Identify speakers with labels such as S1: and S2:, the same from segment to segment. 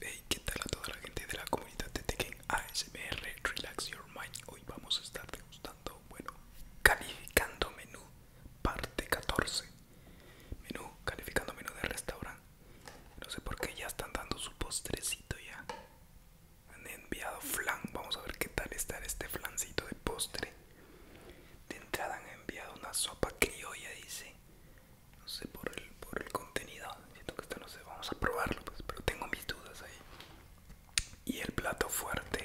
S1: Hey, ¿qué tal a toda la gente de la comunidad de Tekken ASMR Relax Your Mind? Hoy vamos a estar degustando, bueno, calificando menú parte 14 Menú, calificando menú de restaurante No sé por qué ya están dando su postrecito ya Han enviado flan, vamos a ver qué tal está este flancito de postre De entrada han enviado una sopa que yo ya hice no sé por el, por el contenido siento que esto no sé vamos a probarlo pues, pero tengo mis dudas ahí y el plato fuerte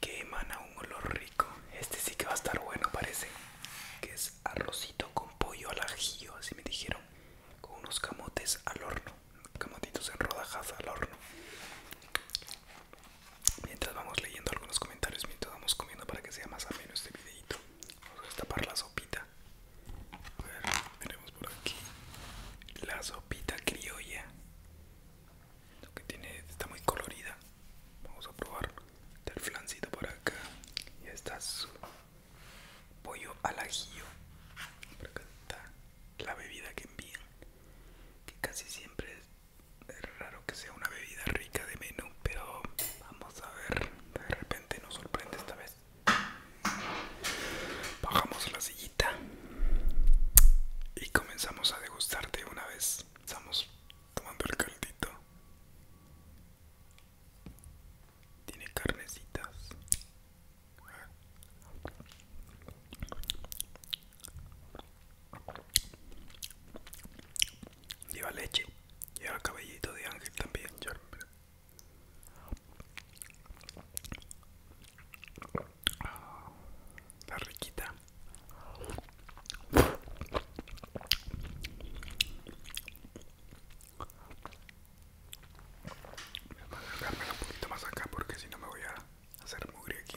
S1: que emana un olor rico este sí que va a estar bueno parece que es arrocito con pollo al ajillo así me dijeron con unos camotes al horno camotitos en rodajas al horno mientras vamos leyendo algunos comentarios mientras vamos comiendo para que sea más ameno este videito vamos a destapar la sopita a tenemos por aquí la sopita criolla lo que tiene está muy colorida vamos a probar el flancito por acá y está su pollo al ajillo por acá está la bebida que envían que casi siempre es es raro que sea una bebida rica de menú, pero vamos a ver, de repente nos sorprende esta vez. Bajamos la sillita y comenzamos a degustar de una vez. Estamos tomando el caldito. Tiene carnecitas. Lleva leche. Lleva cabellito de ángel también. Está riquita. Voy a acercarme un poquito más acá porque si no me voy a hacer mugre aquí.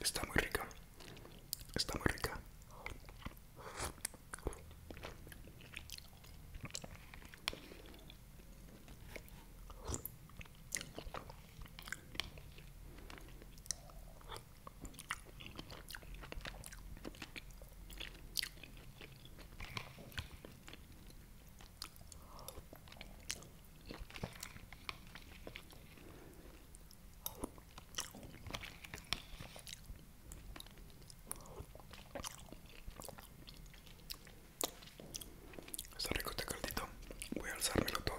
S1: Está muy rica. Está muy rica. Está rico este caldito. Voy a alzármelo todo.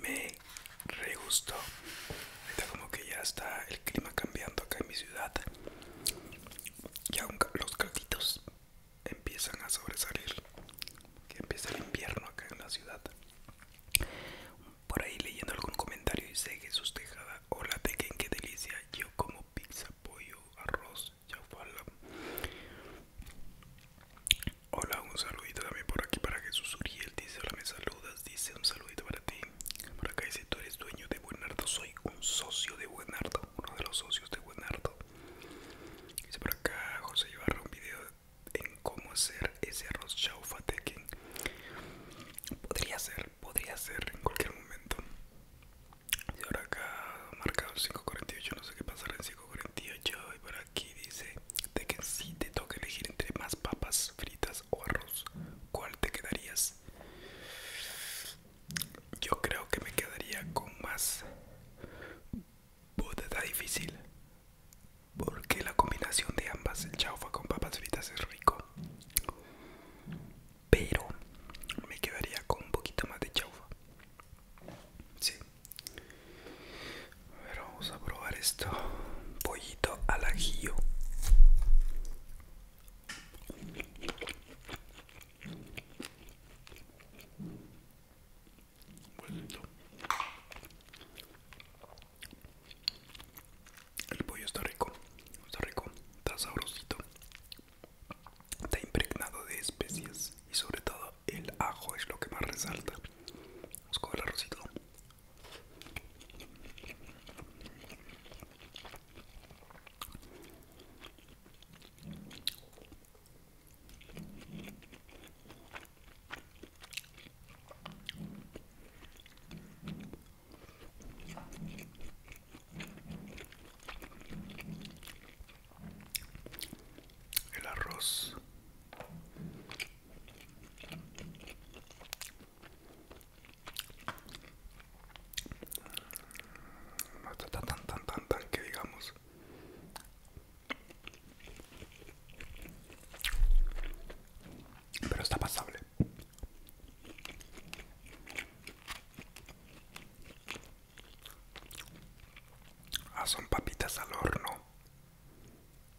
S1: Me re gustó. Ahorita como que ya está el clima cambiando acá en mi ciudad. Y Ya los calditos empiezan a sobresalir. Que empieza el invierno acá en la ciudad. Por ahí leyendo algún comentario Y dice sus tejadas. hola en qué delicia. Yo como pizza, pollo, arroz Chau Hola, un saludito también por aquí para Jesús Uriel. Dice: Hola, me saludas. Dice: Un saludito para ti. Por acá dice: Tú eres dueño de Buenardo. Soy un socio de Buenardo. Uno de los socios de Buenardo. Dice por acá: José llevará un video en cómo hacer ese arroz chaufa que Podría ser, podría ser en cualquier momento. Y ahora acá marcado 548, no sé qué pasará en 548. Y por aquí dice de que si te toca elegir entre más papas fritas o arroz, ¿cuál te quedarías? Yo creo que me quedaría con más está difícil porque la combinación de ambas, el chaufa con papas fritas es rico pero me quedaría con un poquito más de chaufa. Sí. A ver, vamos a probar esto. Pollito al ajillo. El pollo está rico, está rico, está sabrosito está impregnado de especias y sobre todo el ajo es lo que más resalta. Vamos con el arrocito el arroz no está tan tan tan tan tan que digamos pero está pasable Ah, son papitas al horno.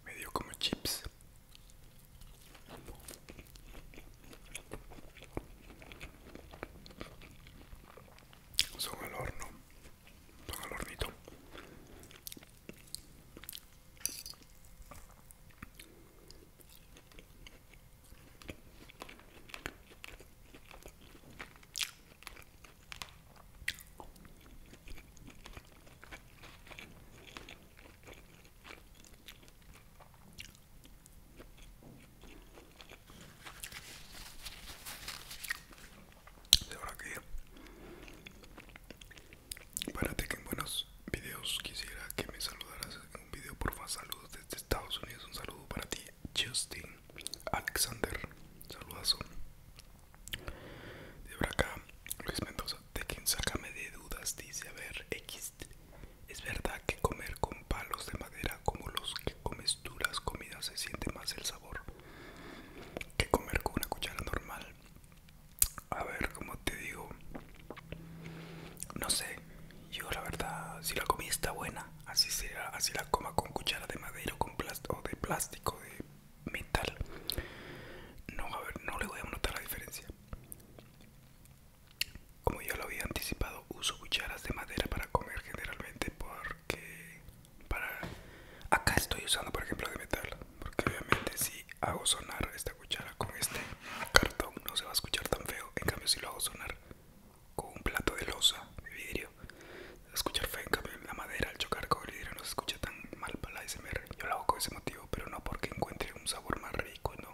S1: Medio como chips. Son al horno. Son al hornito. De que para que en buenos videos quisiera que me saludaras un video porfa saludos desde Estados Unidos un saludo para ti Justin Alexander saludazo de por acá Luis Mendoza de quien sácame de dudas dice a ver X es verdad que comer con palos de madera como los que comes duras comidas se siente más el sabor que comer con una cuchara normal a ver como te digo no sé yo la verdad si la comida está buena así será así la coma con cuchara de madera con plástico de plástico de metal no a ver no le voy a notar la diferencia como ya lo había anticipado uso cucharas de madera para comer generalmente porque para acá estoy usando por ejemplo de metal porque obviamente si hago sonar esta cuchara con este cartón no se va a escuchar tan feo. En cambio, si lo hago sonar con un plato de losa de vidrio, va a escuchar feo. En cambio, la madera al chocar con vidrio no se escucha tan mal para la SMR Yo lo hago con ese motivo, pero no porque encuentre un sabor más rico, no.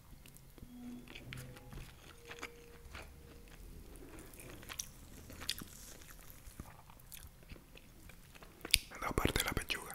S1: Me da parte la pechuga.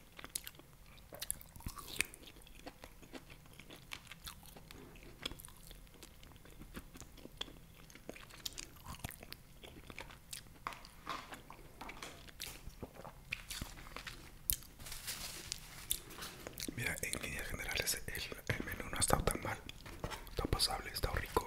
S1: Mira, en líneas generales el, el menú no ha estado tan mal, está pasable, está rico.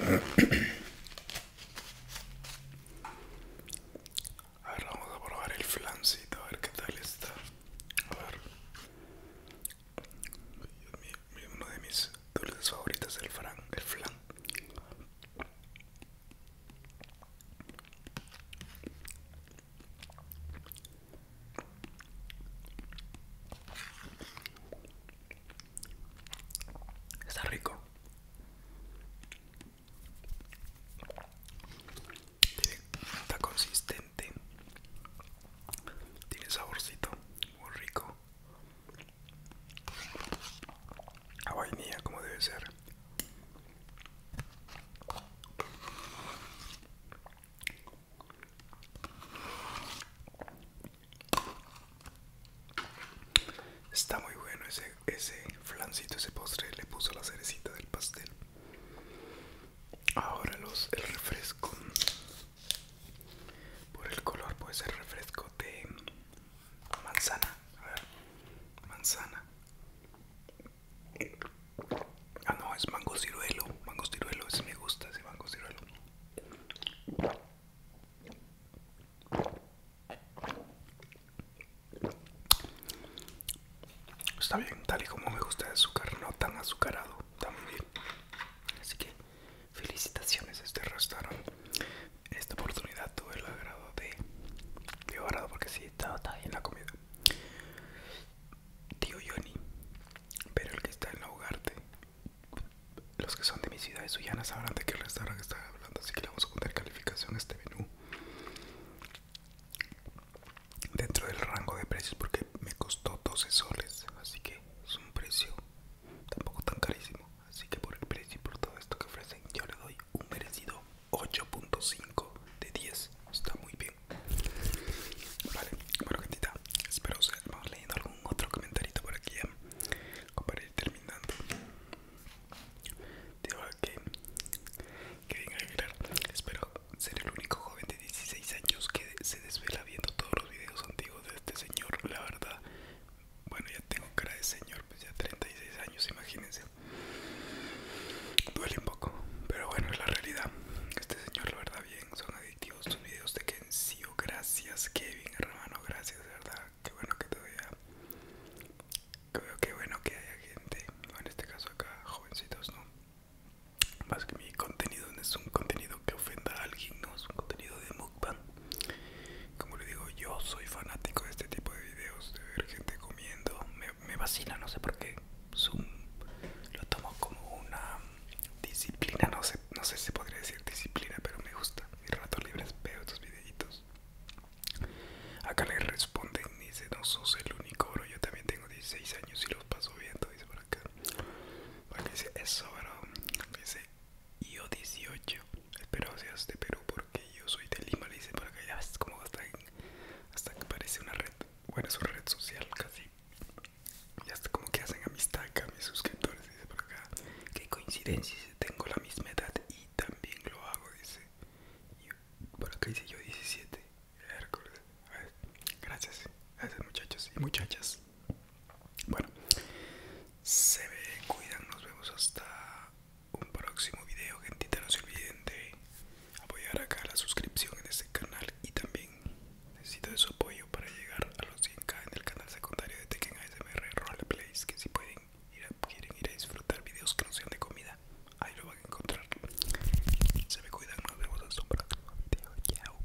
S1: A ver, vamos a probar el flancito, a ver qué tal está. A ver. uno de mis dulces favoritos es el flan. Está rico. Está consistente. Tiene saborcito muy rico. A vainilla como debe ser. Está muy bueno ese, ese flancito, ese postre, le puso la cerecita del pastel. Ahora los el refresco. Por el color puede ser refresco de manzana. A ver, manzana. Ah, no, es mango ciruelo. Mango ciruelo, ese me gusta, ese mango ciruelo. Está bien, tal y como me gusta de azúcar, no tan azucarado, está muy bien. Así que felicitaciones este restaurante. Esta oportunidad tuve el agrado de llevarlo porque sí, estaba bien la comida. Tío Johnny, pero el que está en la de Los que son de mi ciudad de Suyana sabrán de qué restaurante están hablando, así que le vamos a poner calificación a este menú dentro del rango de precios porque me costó 12 soles, así que es un precio tampoco tan carísimo. Así que por el precio y por todo esto que ofrecen, yo le doy un merecido 8.5 de 10. Está muy bien. Vale, bueno gentita, espero ser vamos leyendo algún otro comentario por aquí ¿eh? para ir terminando. Digo que, que venga Aguilar, espero ser el único joven de 16 años que se desvela viendo todos los videos antiguos de este señor, la verdad. Bueno, ya tengo cara de señor pues ya 36 años, imagínense. Duele un poco, pero bueno, es la realidad. Este señor, la verdad, bien, son adictivos vídeos videos, de que sí o gracias, Kevin, hermano, gracias, de verdad. Qué bueno que todavía. Qué bueno que haya gente, en este caso acá, jovencitos, ¿no? Más que mi contenido no es un contenido que ofenda a alguien, no es un contenido de mukbang. Como le digo, yo soy fanático de este tipo de videos de ver gente comiendo me, me vacila, no sé por qué. lo tomo como una disciplina, no sé, no sé si podría decir disciplina, pero me gusta. mi rato libre veo estos videitos. Acá le responden, dice, no sos el único, bro. Yo también tengo 16 años y los paso viendo, dice por acá. Bueno, dice, eso, bro. Dice, yo 18. Espero seas de Perú porque yo soy de Lima, le dice por acá, ya como hasta, que parece una red, bueno es una red social casi. Y hasta como que hacen amistad acá mis suscriptores, dice por acá. Qué coincidencia, tengo la misma edad y también lo hago, dice. por acá dice yo 17. A gracias, gracias muchachos y muchachas. Bueno, se ve, cuidan, nos vemos hasta un próximo video gentita no se olviden de apoyar acá la suscripción en este canal y también necesito de su apoyo para llegar a los 100k en el canal secundario de Tekken ASMR Roleplays que si pueden ir a, quieren ir a disfrutar videos que no sean de comida ahí lo van a encontrar se me cuidan nos vemos hasta un próximo video chao